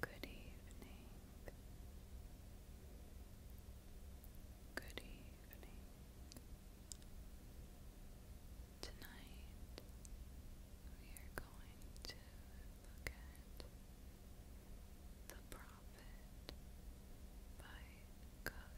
Good evening. Good evening. Tonight we are going to look at The Prophet by Cook.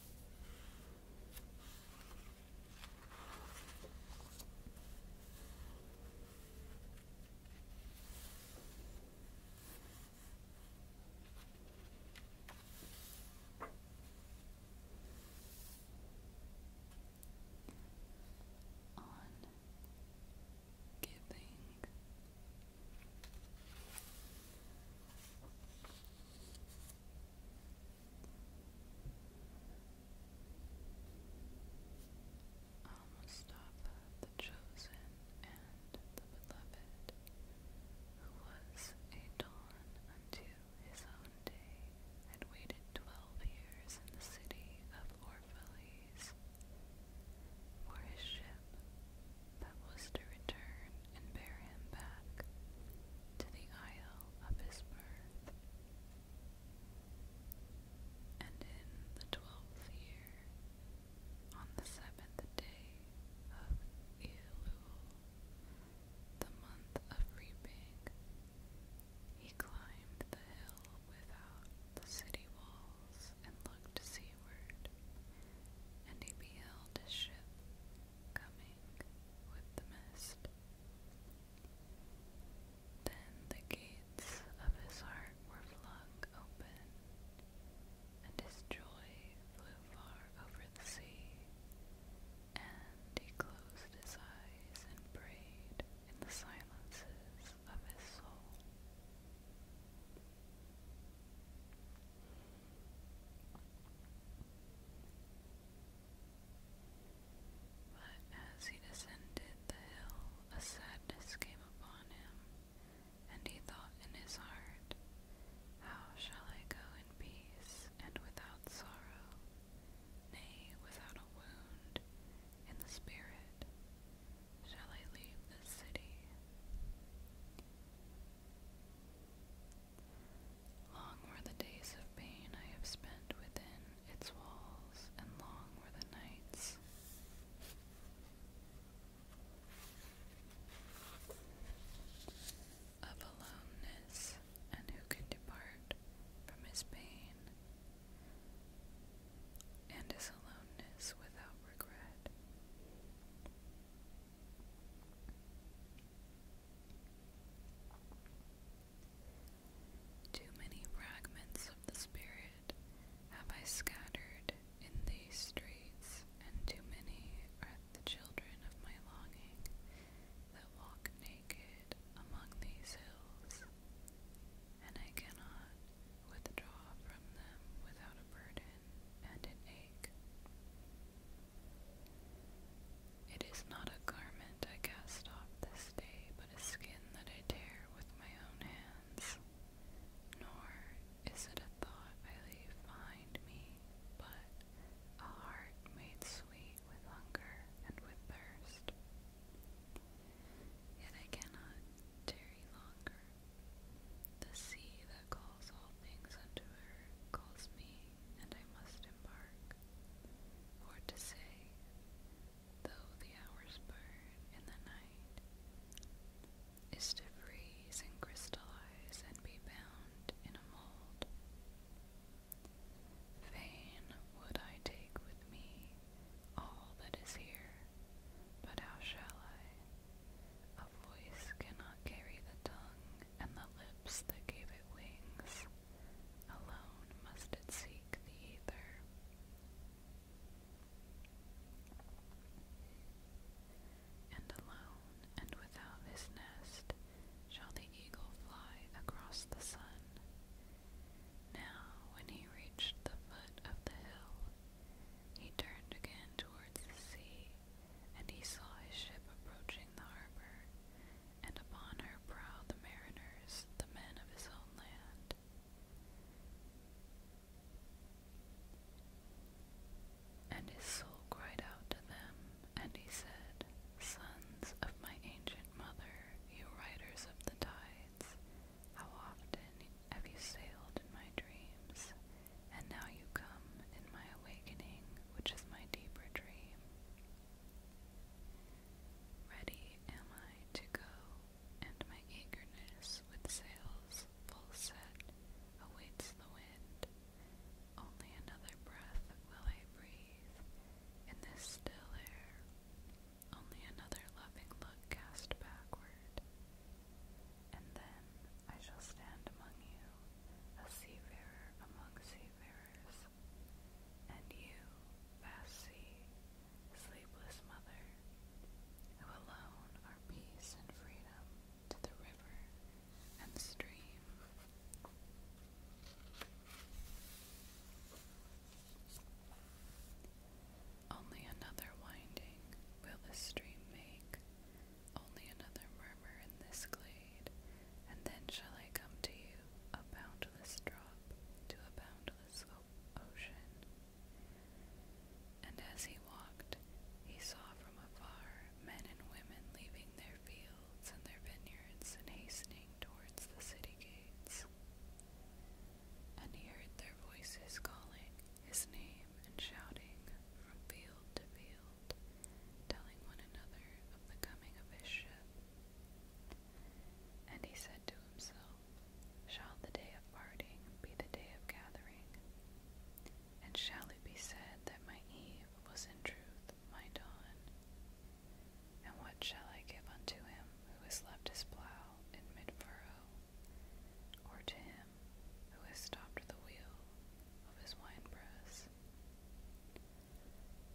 on giving Almost stop the chosen and the beloved, who was a dawn unto his own day, had waited twelve years in the city of Orphalese for his ship that was to return and bear him back to the isle of his birth. And in the twelfth year, on the seventh day of Elul, the month of reaping, he climbed the hill without the city walls and looked seaward, and he beheld his ship coming with the mist. Then the gates of his heart were flung open, and his joy flew far over the sea. And he closed his eyes and prayed in the silences of his soul. But as he descended the hill, a sadness came upon him, and he thought in his heart, How shall I go in peace and without sorrow, nay, without a wound in the spirit? Shall I leave this city? Long were the days of pain I have spent within its walls, and long were the nights. Of aloneness, and who could depart from his pain and his aloneness without regret? Too many fragments of the Spirit have I scattered in these streets, and too many are the children of my longing that walk naked among these hills, and I cannot withdraw from them without a burden and an ache. It is not a garment I cast off this day, but a skin that I tear with my own hands. Nor is it a thought I leave behind me, but a heart made sweet with hunger and with thirst. Yet I cannot tarry longer. The sea that calls all things unto her calls me and I must embark. For to say, though the hours burn in the night, is to freeze and crystallize and be bound in a mold. Fain would I take with me all that is here, but how shall I? A voice cannot carry the tongue, and the lips that gave it wings. Alone must it seek the ether. And alone and without his nest shall the eagle fly across the sun. Now, when he reached the foot of the hill, he turned again towards the sea and he saw his ship approaching the harbor, and upon her prow the mariners, the men of his own land. And his soul cried out to them, and he said, Sons of my ancient mother, you riders of the tides, how often have you sailed in my dreams, and now you come in my awakening, which is my deeper dream. Ready am I to go, and my eagerness with sails full set awaits the wind. Only another breath will I breathe in this still air, only another loving look cast backward, and then I shall stand among you, a seafarer among seafarers, and you, vast sea, sleepless mother, who alone are peace and freedom to the river and the stream. Only another winding will the stream make only another murmur in this glade, and then shall I come to you, a boundless drop to a boundless ocean. And as he walked, he saw from afar men and women leaving their fields and their vineyards and hastening towards the city gates. And he heard their voices calling his name and shouting from field to field telling one another of the coming of his ship. And he said to himself, Shall the day of parting be the day of gathering? And shall it be said that my Eve was in truth my dawn? And what shall I give unto him who has left his plough in mid furrow, or to him who has stopped the wheel of his winepress.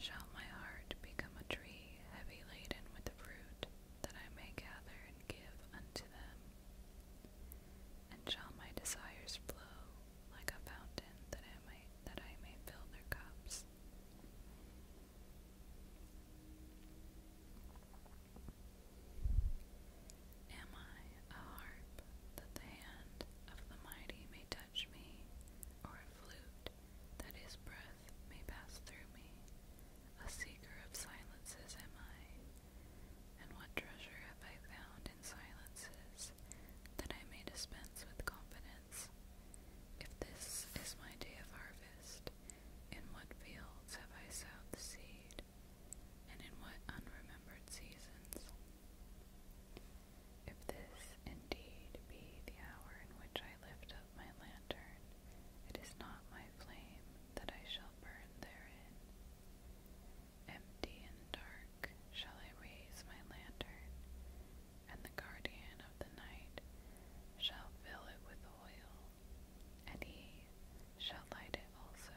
Shall my heart become a tree heavy laden with the fruit that I may gather and give unto them? And shall my desires flow like a fountain that I may, that I may fill their cups? Am I a harp that the hand of the mighty may touch me, or a flute that his breath may pass through me? A seeker of silences am I, and what treasure have I found in silences that I may dispense with confidence? If this is my day of harvest, in what fields have I sowed the seed? and in what unremembered seasons. If this indeed be the hour in which I lift up my lantern, it is not my flame that I shall burn therein. Empty and dark shall I raise my lantern, and the guardian of the night shall fill it with oil, and he shall light it also.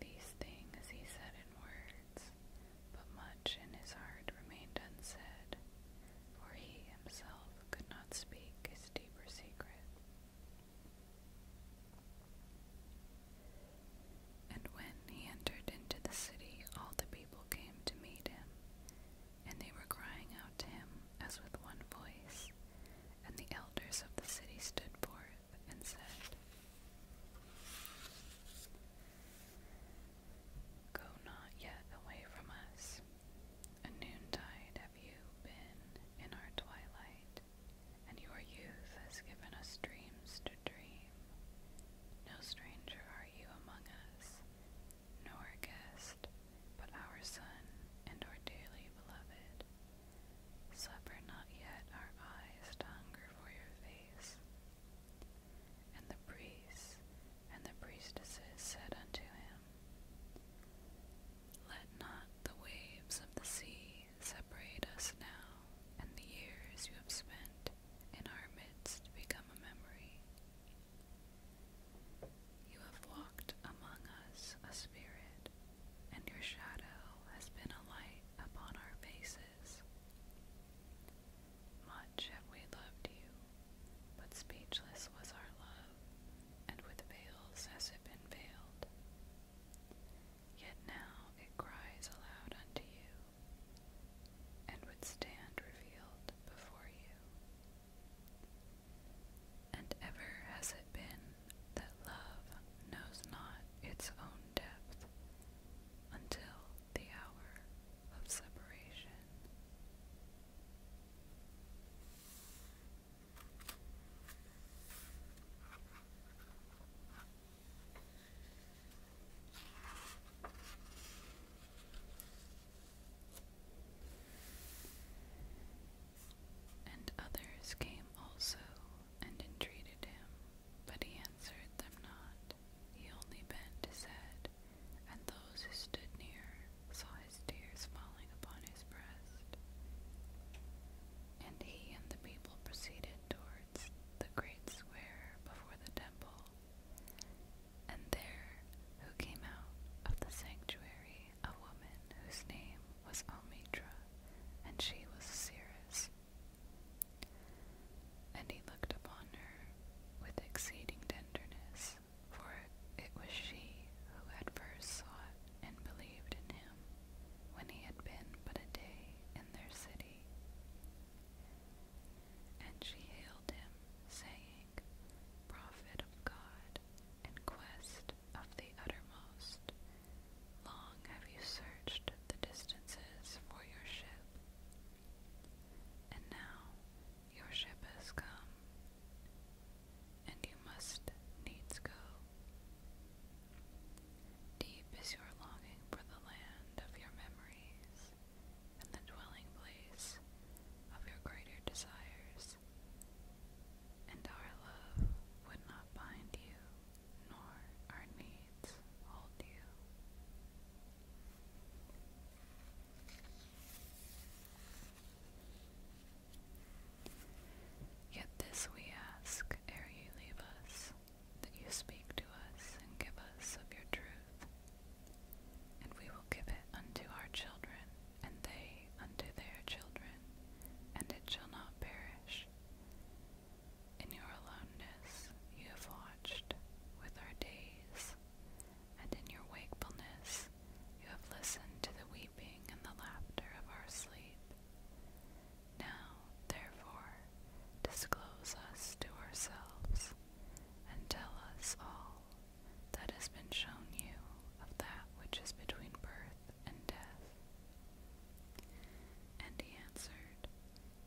These things he said in words, but much in his heart remained unsaid, for he himself could not speak his deeper secret. And when he entered into the city, all the people came to meet him, and they were crying out to him as with one voice, and the elders of the city stood forth and said, Go not yet away from us. A noontide have you been in our twilight, and your youth has given us dreams to dream. No stranger are you among us, nor a guest, but our son and our dearly beloved. Suffer not yet our eyes to hunger for your face. And the priests and the priestesses said unto him, Let not the waves of the sea separate us now, and the years you have spent in our midst become a memory. You have walked among us, a spirit, and your shadow has been a light upon our faces. Much have we loved you, but speechless was our love, and with veils has it been veiled. Yet now it cries aloud unto you, and would stand revealed before you. And ever has it been that love knows not its own depth until the hour of separation. And others came also and entreated him, but he answered them not. He only bent his head, and those who stood near saw his tears falling upon his breast. And he and the people proceeded towards the great square before the temple. And there, who came out of the sanctuary a woman whose name was Omidra, and she was Ceres. And he looked upon her with exceeding tenderness, for it was she who had first sought and believed in him when he had been but a day in their city. And she hailed him, saying, Prophet of God, in quest of the uttermost. Long have you searched the distances for your ship, and now your ship has come, and you must needs go. Deep is your longing for the land of your memories, and the dwelling place of your greater desires and our love would not bind you, nor our needs hold you. Yet this we ask ere you leave us, that you speak to us and give us of your truth, and we will give it unto our children, and they unto their children, and it shall not perish. In your aloneness you have watched with our days, and in your wakefulness you have listened to the weeping and the laughter of our sleep. Now, therefore, disclose us to ourselves, and tell us all that has been shown you of that which is between birth and death? And he answered,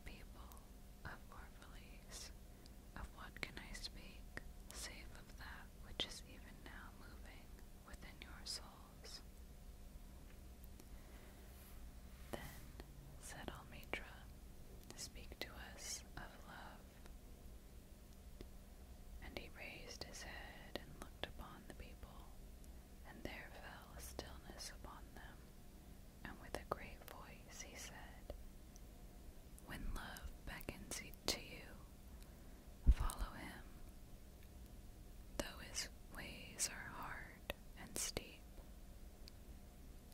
People of Orphalese, of what can I speak, save of that which is even now moving within your souls? Then said Almitra, Speak to us of love. And he raised his head and looked upon the people, and there fell a stillness upon them. And with a great voice he said, When love beckons to you, follow him. Though his ways are hard and steep,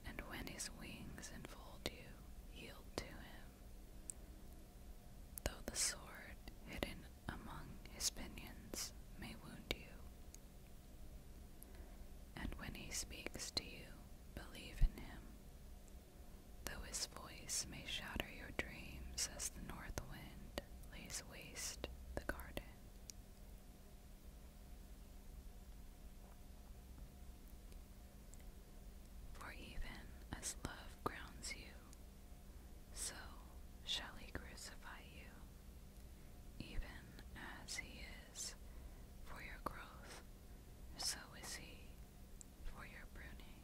and when his wings enfold you, yield to him. Though the sword hidden among his pinions may wound you. And when he speaks to you, believe in him. Though his voice may shatter your dreams as the north wind lays waste the garden. For even as love grounds you, so shall he crucify you, even as he is for your growth, so is he for your pruning.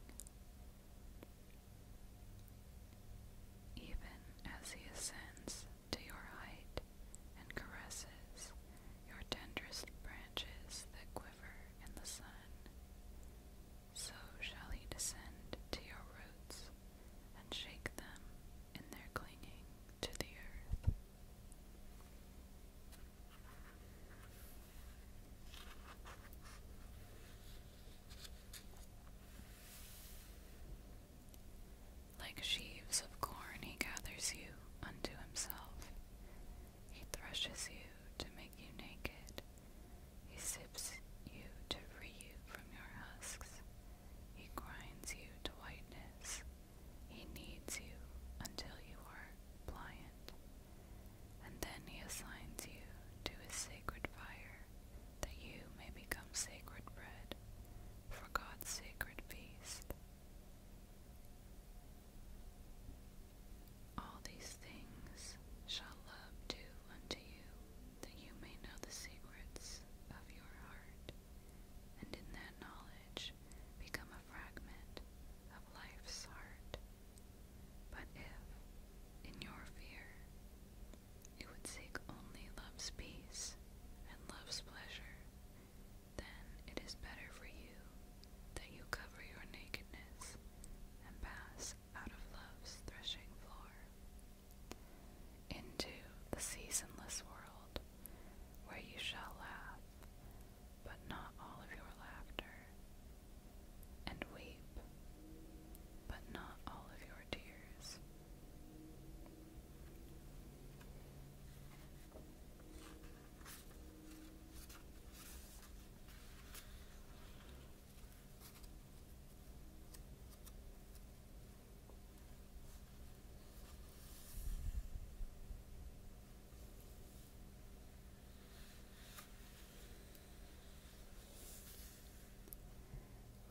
Even as he ascends to your height and caresses your tenderest branches that quiver, and the sun. So shall he descend to your roots and shake them in their clinging to the earth. Like sheaves of corn he gathers you unto himself, he threshes you to make you naked. He sips you to free you from your husks. He grinds you to whiteness. He kneads you until you are pliant. And then he assigns you to his sacred fire, that you may become sacred bread for God's sacred feast. All these things shall love do unto you, that you may know the secrets of your heart, and in that knowledge become a fragment of life's heart. But if, in your fear, you would seek only love's peace and love's pleasure, then it is better for you that you cover your nakedness and pass out of love's threshing floor into the seasonless world where you shall laugh, but not all of your laughter, and weep, but not all of your tears.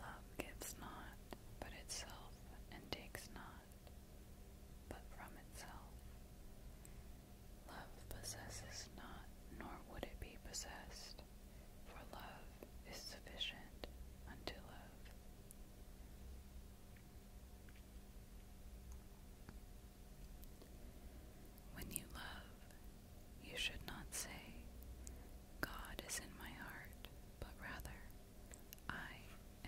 Love gives not, but itself, and takes not but from itself. Love possesses not, nor would it be possessed, for love is sufficient unto love. When you love, you should not say, God is in my heart, but rather, I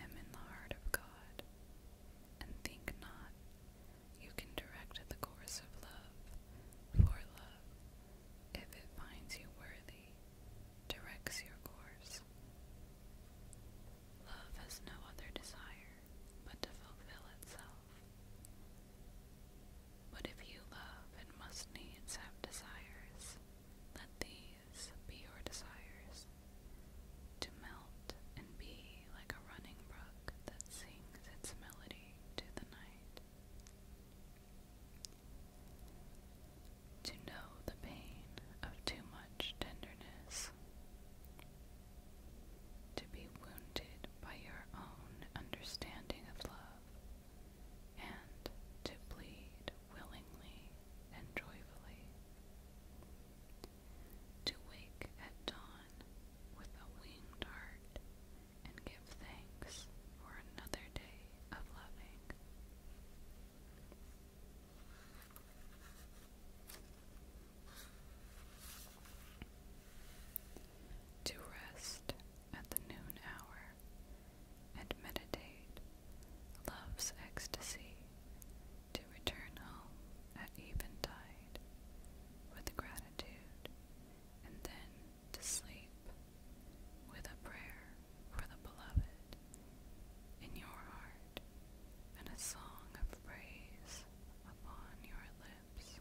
am in the heart of God, and think not you can direct the course of love, for love, if it finds you worthy, directs your course. Love has no other desire but to fulfill itself. But if you love and must needs have desires, let these be your desires, to melt and be like a running brook that sings its melody to the night. To know the pain of too much tenderness, to be wounded by your own understanding of love, and to bleed willingly and joyfully. To wake at dawn with a winged heart and give thanks for another day of loving. To rest at the noon hour and meditate love's ecstasy to return home at eventide with gratitude and then to sleep with a prayer for the beloved in your heart and a song of praise upon your lips.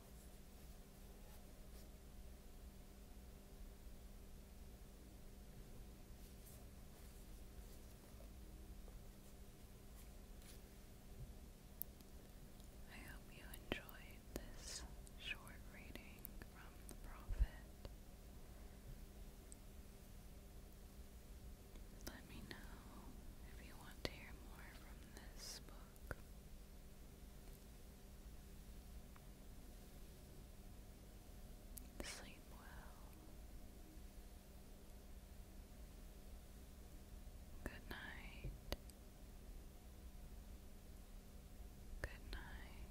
I hope you enjoyed this short reading from the Prophet. Let me know if you want to hear more from this book rock. Sleep well. Good night. Good night.